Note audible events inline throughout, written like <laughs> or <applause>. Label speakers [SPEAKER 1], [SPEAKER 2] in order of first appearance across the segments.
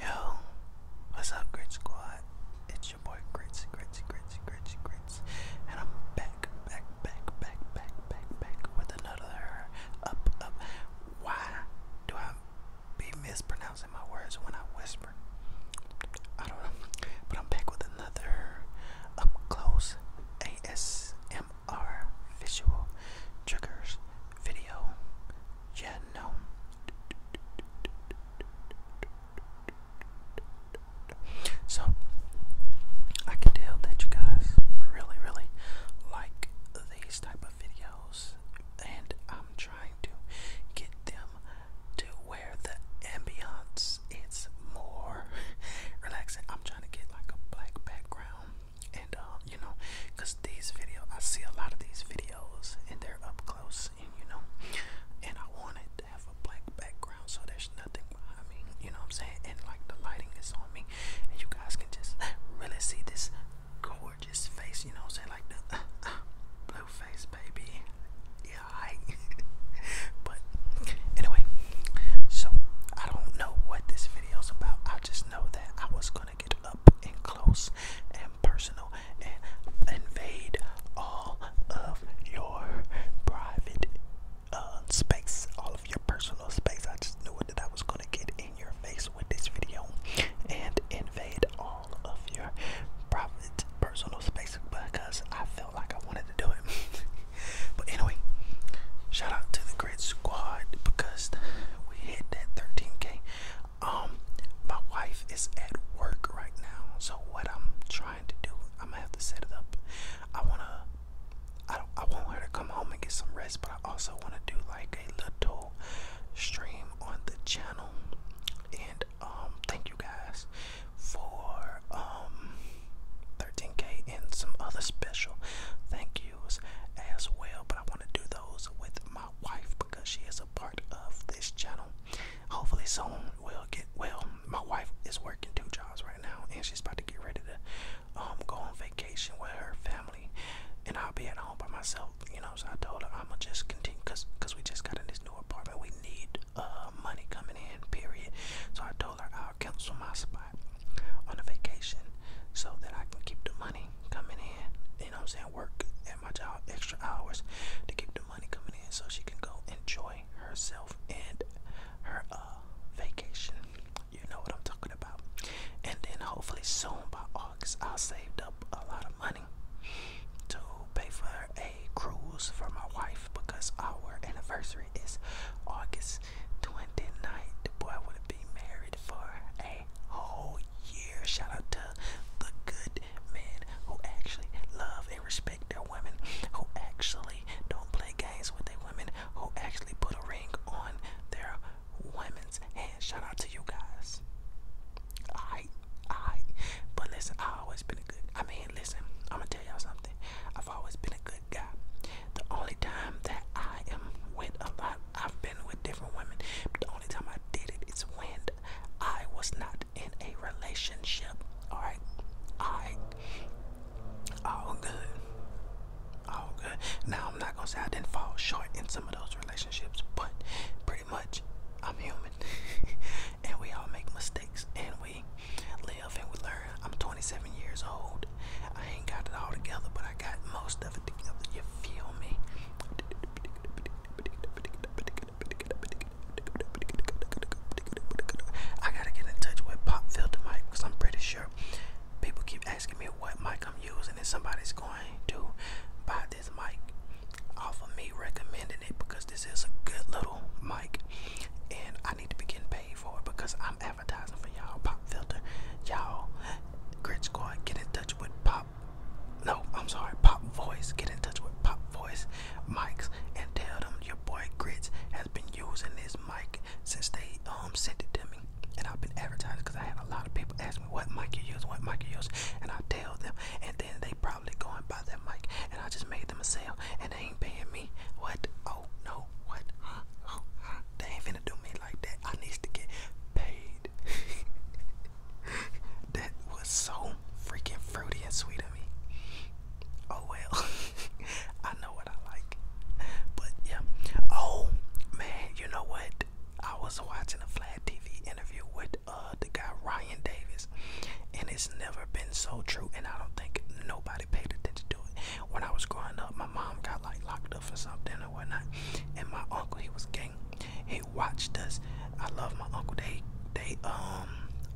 [SPEAKER 1] Yo, what's up, Grit Squad? It's your boy Grits, Grits, Grits, Grits, Grits, and I'm back, back, back, back, back, back, back with another up, up. Why do I be mispronouncing my words when I whisper? I don't know, but I'm back with another up close ASMR visual triggers video yeah, no. So, I can tell that you guys really, really like these type of videos, and I'm trying to get them to where the ambiance is more <laughs> relaxing. I'm trying to get like a black background and um, you know, because these videos, I see a lot of these videos and they're up close and you know, and I wanted to have a black background so there's nothing behind me, you know what I'm saying? And like the lighting is on me, and you guys can just really see this gorgeous face, you know what I'm saying? Like the uh, uh, blue face, baby. Yeah, I. <laughs> but anyway, so I don't know what this video's about. I just know that I was gonna get up and close and personal and invade all of your private uh, space, all of your personal space. I just knew that I was gonna get in your face with this video and invade all of your private personal space because I felt like I wanted to do it. <laughs> but anyway, shout out to the Grid Squad because we hit that 13k. Um, my wife is at work right now, so what I'm trying to do, I'm gonna have to set it up. I wanna, I don't, I want her to come home and get some rest, but I also wanna do like a little stream on the channel. And um, thank you guys for um 13k and some other special thank yous as well. But I wanna do those with my wife because she is part of this channel. Hopefully soon we'll get well. My wife is working two jobs right now, and she's about to get ready to um, go on vacation with her family, and I'll be at home by myself. You know, so I told her I'ma just continue, cause cause we just got in this new apartment. We need uh, money coming in, period. So I told her I'll cancel my spot on the vacation so that I can keep the money coming in. You know what I'm saying? Work my job extra hours to keep the money coming in so she can go enjoy herself and her uh, vacation. You know what I'm talking about. And then hopefully soon by August I'll saved up a lot of money to pay for a cruise for my wife because our anniversary is August 29th. The boy would have been married for a whole year. Shout out to the good men who actually love and respect their women, who actually don't play games with their women, who actually put a ring on their women's hand. Shout out to you guys. I, I, but listen, I always been a good. I mean, listen, I'm gonna tell y'all something. I've always been a good guy. The only time that I am with a lot, I've been with different women, but the only time I did it is when I was not in a relationship. Alright? Alright. All good. All good. Now I'm not gonna say I didn't fall short in some of those relationships, but pretty much I'm human. <laughs> and we all make mistakes and we live and we learn. I'm 27 years old. I ain't got it all together, but I got most of it together. You feel me? I gotta get in touch with pop filter mic I'm pretty sure people keep asking me what mic I'm using, and somebody's going to buy this mic off of me recommending it because this is a good little mic, and I need to be getting paid for it because I'm advertising for y'all. Pop filter, y'all, grit squad, get in touch with pop. No, I'm sorry. Pop Voice. Get in touch with Pop Voice mics and tell them your boy Grits has been using this mic since they um sent it to me. And I've been advertising because I had a lot of people ask me what mic you use, what mic you use, and I tell them, and then they probably go and buy that mic, and I just made them a sale, and they ain't paying me. What? Oh no, what? Huh? Oh, They ain't finna do me like that. I need to get paid. <laughs> <laughs> that was so freaking fruity and sweet of me. Oh well, <laughs> I know what I like. But yeah. Oh man, you know what? I was watching a Flat TV interview with uh, the guy Ryan Davis, and it's never been so true. And I don't think nobody paid attention to it. When I was growing up, my mom got like locked up for something or whatnot, and my uncle he was gang he watched us. I love my uncle. They they um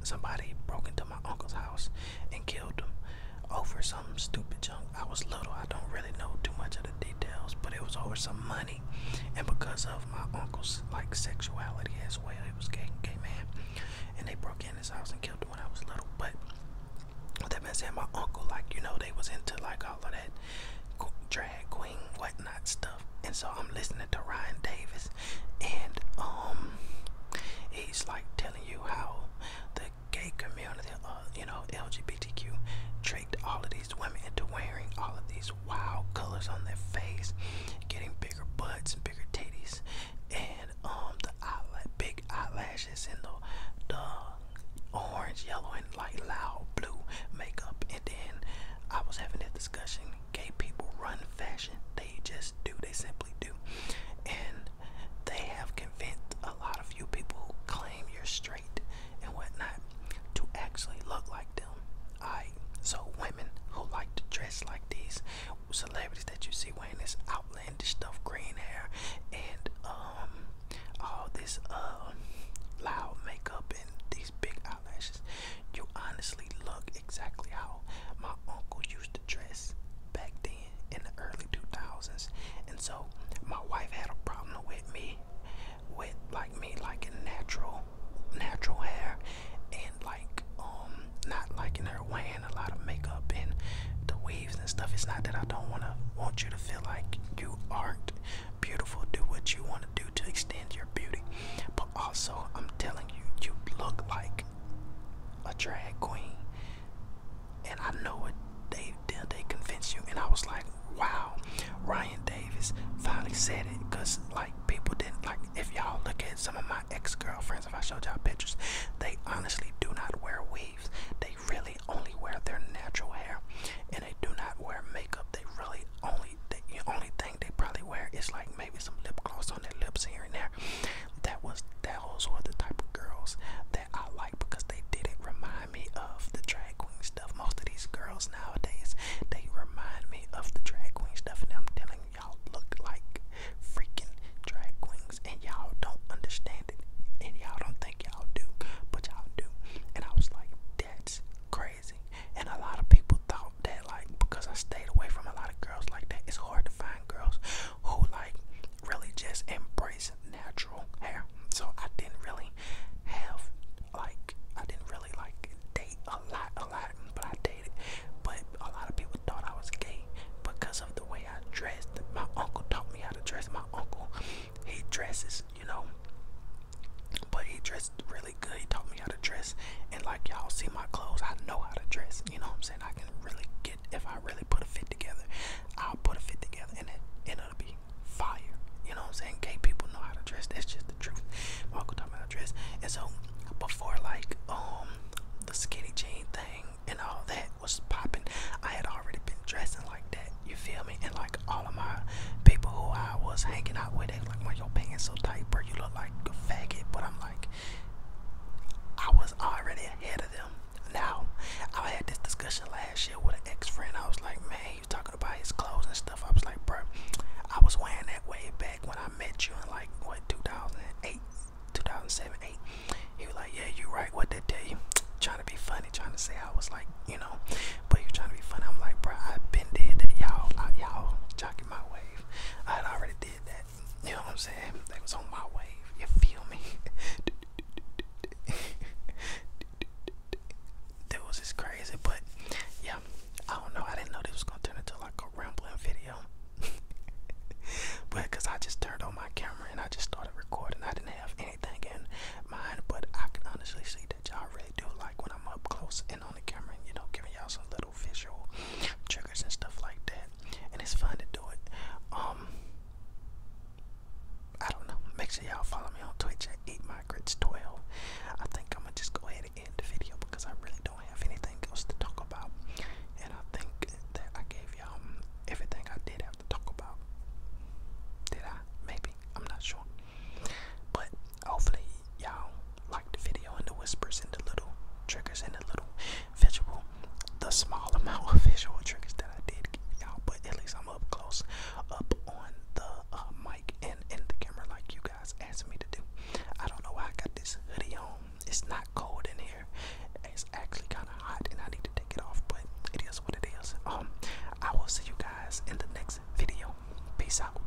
[SPEAKER 1] somebody broke into my uncle's house and killed him over some stupid junk. I was little. I don't really know too much of the details, but it was over some money, and because of my uncle's like sexuality as well, he was gay, gay man, and they broke in his house and killed him when I was little. But that being said, my uncle, like you know, they was into like all of that drag queen whatnot stuff. And so I'm listening to Ryan Davis, and um, he's like telling you how the gay community, uh, you know, LGBTQ, tricked all of these women into wearing all of these wild colors on their face, getting bigger butts and bigger titties, and um, the big eyelashes and the the orange, yellow, and like loud blue makeup. And then I was having this discussion. Gay people run fashion. They just do. They simply do. And they have convinced a lot of you people who claim you're straight and whatnot to actually look like them. Alright, so women who like to dress like these celebrities that you see wearing this outlandish stuff, green hair, and um, all this uh, loud makeup and big eyelashes. You honestly look exactly how my uncle used to dress back then in the early 2000s. And so my wife had a problem with me, with like me liking natural, natural hair, and like um not liking her wearing a lot of makeup and the waves and stuff. It's not that I don't wanna want you to feel like you aren't beautiful. Do what you want to do to extend your beauty. But also, I'm telling you, you look like a drag queen. And I know it. They did. They convinced you. And I was like, wow. Ryan Davis finally said it. Cause like people didn't like. If y'all look at some of my ex-girlfriends, if I showed y'all pictures, they honestly do not wear weaves. They really only wear their natural hair, and they do not wear makeup. They really only the only thing they probably wear is like maybe some lip gloss on their lips here and there. That was those were the type of girls that I like because they didn't remind me of the drag queen stuff. Most of these girls nowadays, they remind me of the drag queen stuff, and I'm telling y'all look like freaking drag queens, and y'all don't understand it, and y'all don't think y'all do, but y'all do. And I was like, that's crazy crazy. And a lot of people thought that like because I stayed away from a lot of girls like that, it's hard to find girls who like really just embrace natural hair. So I didn't really have like I didn't really like date a lot, a lot, but I dated. But a lot of people thought I was gay because of the way I dressed. My uncle taught me how to dress. My uncle, he dresses, you know, but he dressed really good. He taught me how to dress, and like y'all see my clothes, I know how to dress. You know what I'm saying? I can really get if I really put a fit together, I'll put a fit together, and it and it'll be fire. You know what I'm saying? Gay people know how to dress. That's just the truth. My uncle taught about dress, and so before like um the skinny jean thing and all that was popping, I had already been dressing like that. You feel me? And like all of my people who I was hanging out with like, why your pants so tight, bro? You look like a faggot. But I'm like, I was already ahead of them. Now, I had this discussion last year with an ex friend. I was like, man, he was talking about his clothes and stuff. I was like, bro, I was wearing that way back when I met you in like, what, 2008, 2007, 8. He was like, yeah, you right. What they day? <tsk> Trying to be funny, trying to say I was like, you know, but you trying to be funny. I'm like, bro, I've been dead. Y'all, y'all, my wave. I had already did that. You know what I'm saying? That was on my wave. You feel me? <laughs> that was just crazy, but yeah. I don't know. I didn't know this was gonna turn into like a rambling video. <laughs> but cause I just turned on my camera and I just started recording. I didn't have anything in mind, but I can honestly see that y'all really do like when I'm up close and on the camera, you know, giving y'all some little visual triggers and stuff like that. And it's fun to do it. Um, I don't know. Make sure y'all follow me on Twitch Eat My Grits 12. I think I'm gonna just go ahead and end the video because I really don't have anything else to talk about. And I think that I gave y'all everything I did have to talk about. Did I? Maybe. I'm not sure. But hopefully y'all like the video and the whispers and the little triggers and the little visual, the small amount of <laughs> visual triggers that I did y'all, but at least I'm up close, up on the uh, mic and in the camera like you guys asked me to do. I don't know why I got this hoodie on. It's not cold in here. It's actually kind of hot and I need to take it off, but it is what it is. Um, I will see you guys in the next video. Peace out.